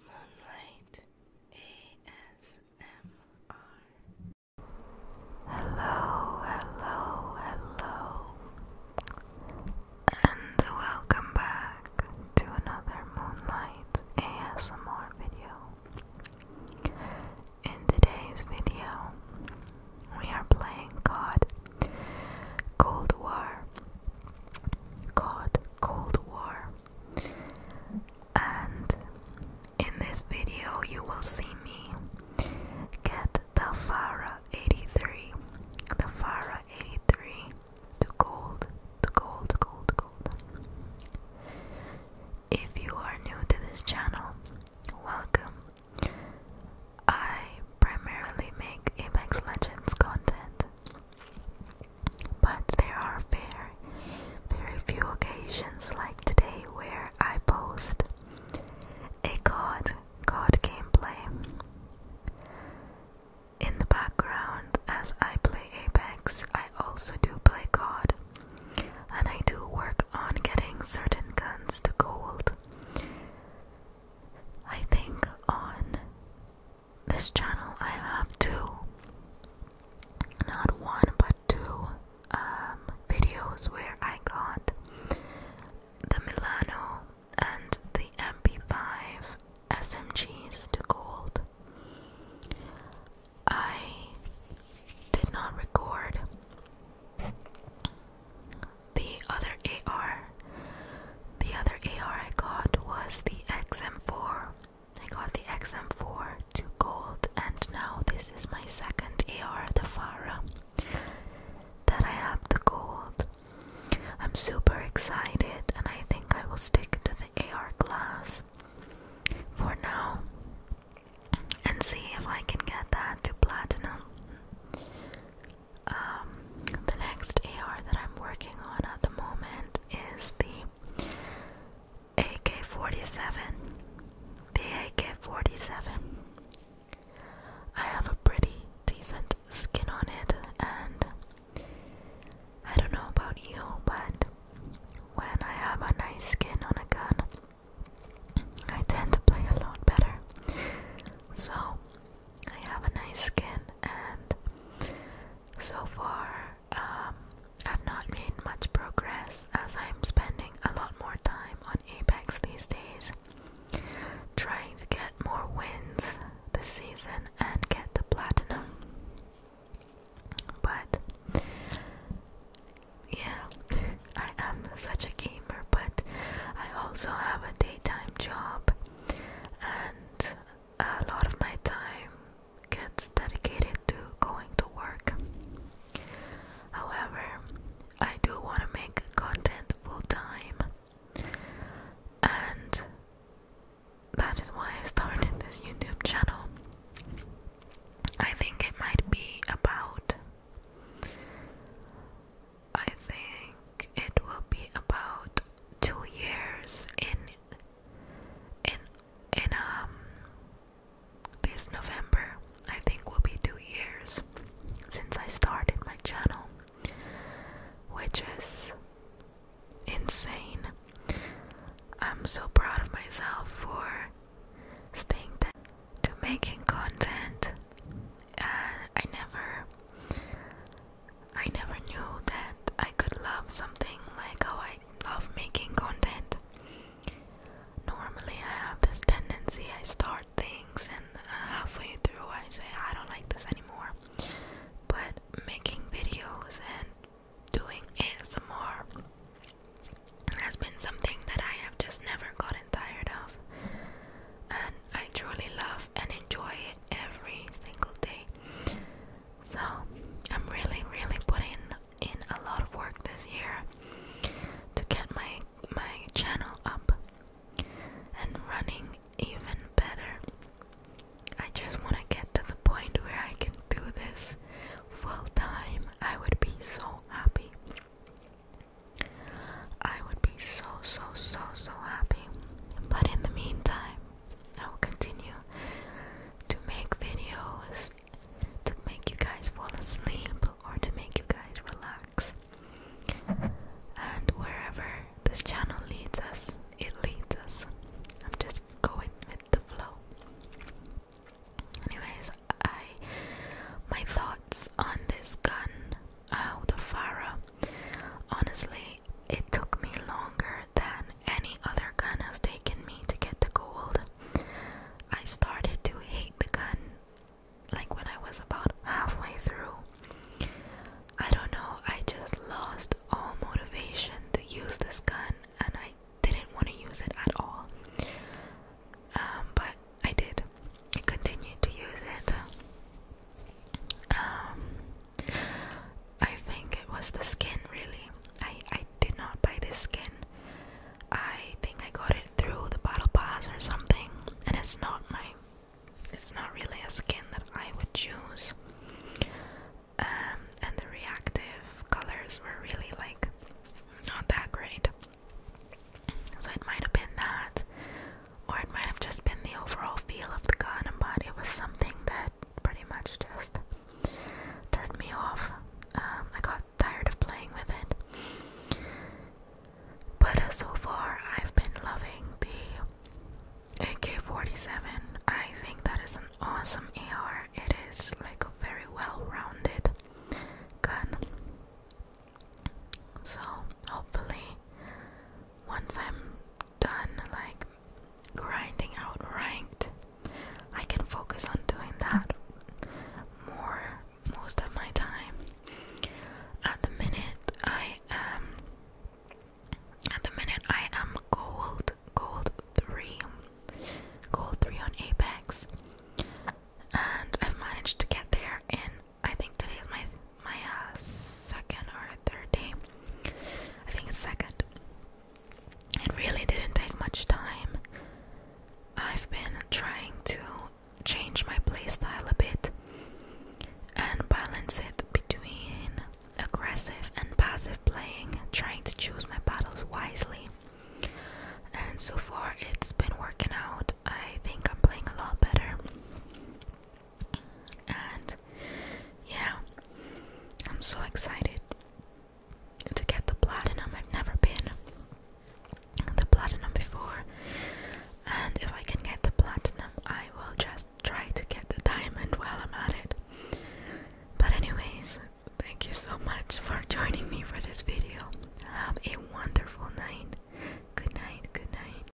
Moonlight ASMR. Hello, hello, hello, and welcome back to another Moonlight ASMR video. In today's video, we are playing COD Cold War. COD Cold War and in this video you will see me get the Farah 83 the Farah 83 to gold to gold gold gold if you are new to this channel welcome I primarily make Apex Legends content but there are very, very few occasions like today where I post a COD, COD gameplay in the background as I play Apex. I also do play COD, and I do work on getting certain guns to gold. I think on this channel I have two, not one but two um, videos where I got the Milano and the MP5 SMGs to gold. I did not record the other AR the other AR I got was the XM4. I got the XM4 to gold, and now this is my second AR, the Farah, that I have to gold. I'm super excited, and I think I will stick to the AR class for now and see if I can get that to platinum. Um, the next AR that I'm working on at the moment is the AK 47. The AK 47. I have a pretty decent skin on it, and I don't know about you, but when I have a nice skin on a gun, I tend to play a lot better. So I have a nice skin, and so far, um, I've not made much progress as I'm spending a lot more time on Apex these days, trying to get more wins this season and get the platinum. But yeah, I am such a gamer, but I also have a daytime job and a lot of my time gets dedicated to going to work. However, I do want to make content full time, and that is why I started this YouTube channel. I think it might be about, I think it will be about two years in in in um this November. I think will be two years since I started my channel, which is insane. I'm so proud of myself for staying to making content and uh, I never I never knew that I could love something like how I love making content. Normally, I have this tendency I start things and uh, halfway through I say, I don't like this anymore. But making videos and doing ASMR has been something that I have just never gotten tired of. And I truly love and enjoy it every single day. So I'm really, really putting in a lot of work this year to get my my channel up and running even better. I just want to get to the point where I can do this full time. I would be so happy. I would be so, so, so, so happy. But in the meantime, I will continue to make videos to make you guys fall asleep or to make you guys relax. And wherever this channel leads us, it leads us. I'm just going with the flow. Anyways, I my thoughts on this gun out of Farah. Honestly, it took me longer than any other gun has taken me to get the gold. I started to hate the gun like when I was about halfway through. I don't know, I just lost all motivation to use this gun and I didn't want to use it at all. Um, but I did. I continued to use it. Um, I think it was the skin really. I I did not buy the skin. I think I got it through the bottle pass or something and it's not my it's not really a skin that I would choose. Um and the reactive colors were really like not that great. So it might have been that or it might have just been the overall feel of the gun, but it was something that pretty much just turned me off. Um, I got tired of playing with it. But uh, so far, I've been loving the AK 47. I think that is an awesome AR. It is like a very well rounded gun. So, hopefully, once I'm done like grinding out ranked, I can focus on doing that more most of my time. At the minute, I am. At the minute, I am gold, gold three, gold three on Apex, and I've managed to get there in I think today is my my uh, second or third day. I think it's second. It really didn't take much time. I've been trying to change my playstyle a bit and balance it between aggressive and passive playing, trying to choose my battles wisely. And so far, it's been working out. I think I'm playing a lot better and yeah, I'm so excited to get the platinum. I've never been the platinum before, and if I can get the platinum, I will just try to get the diamond while I'm at it. But, anyways, thank you so much for joining me for this video. Have a wonderful night. Good night, good night.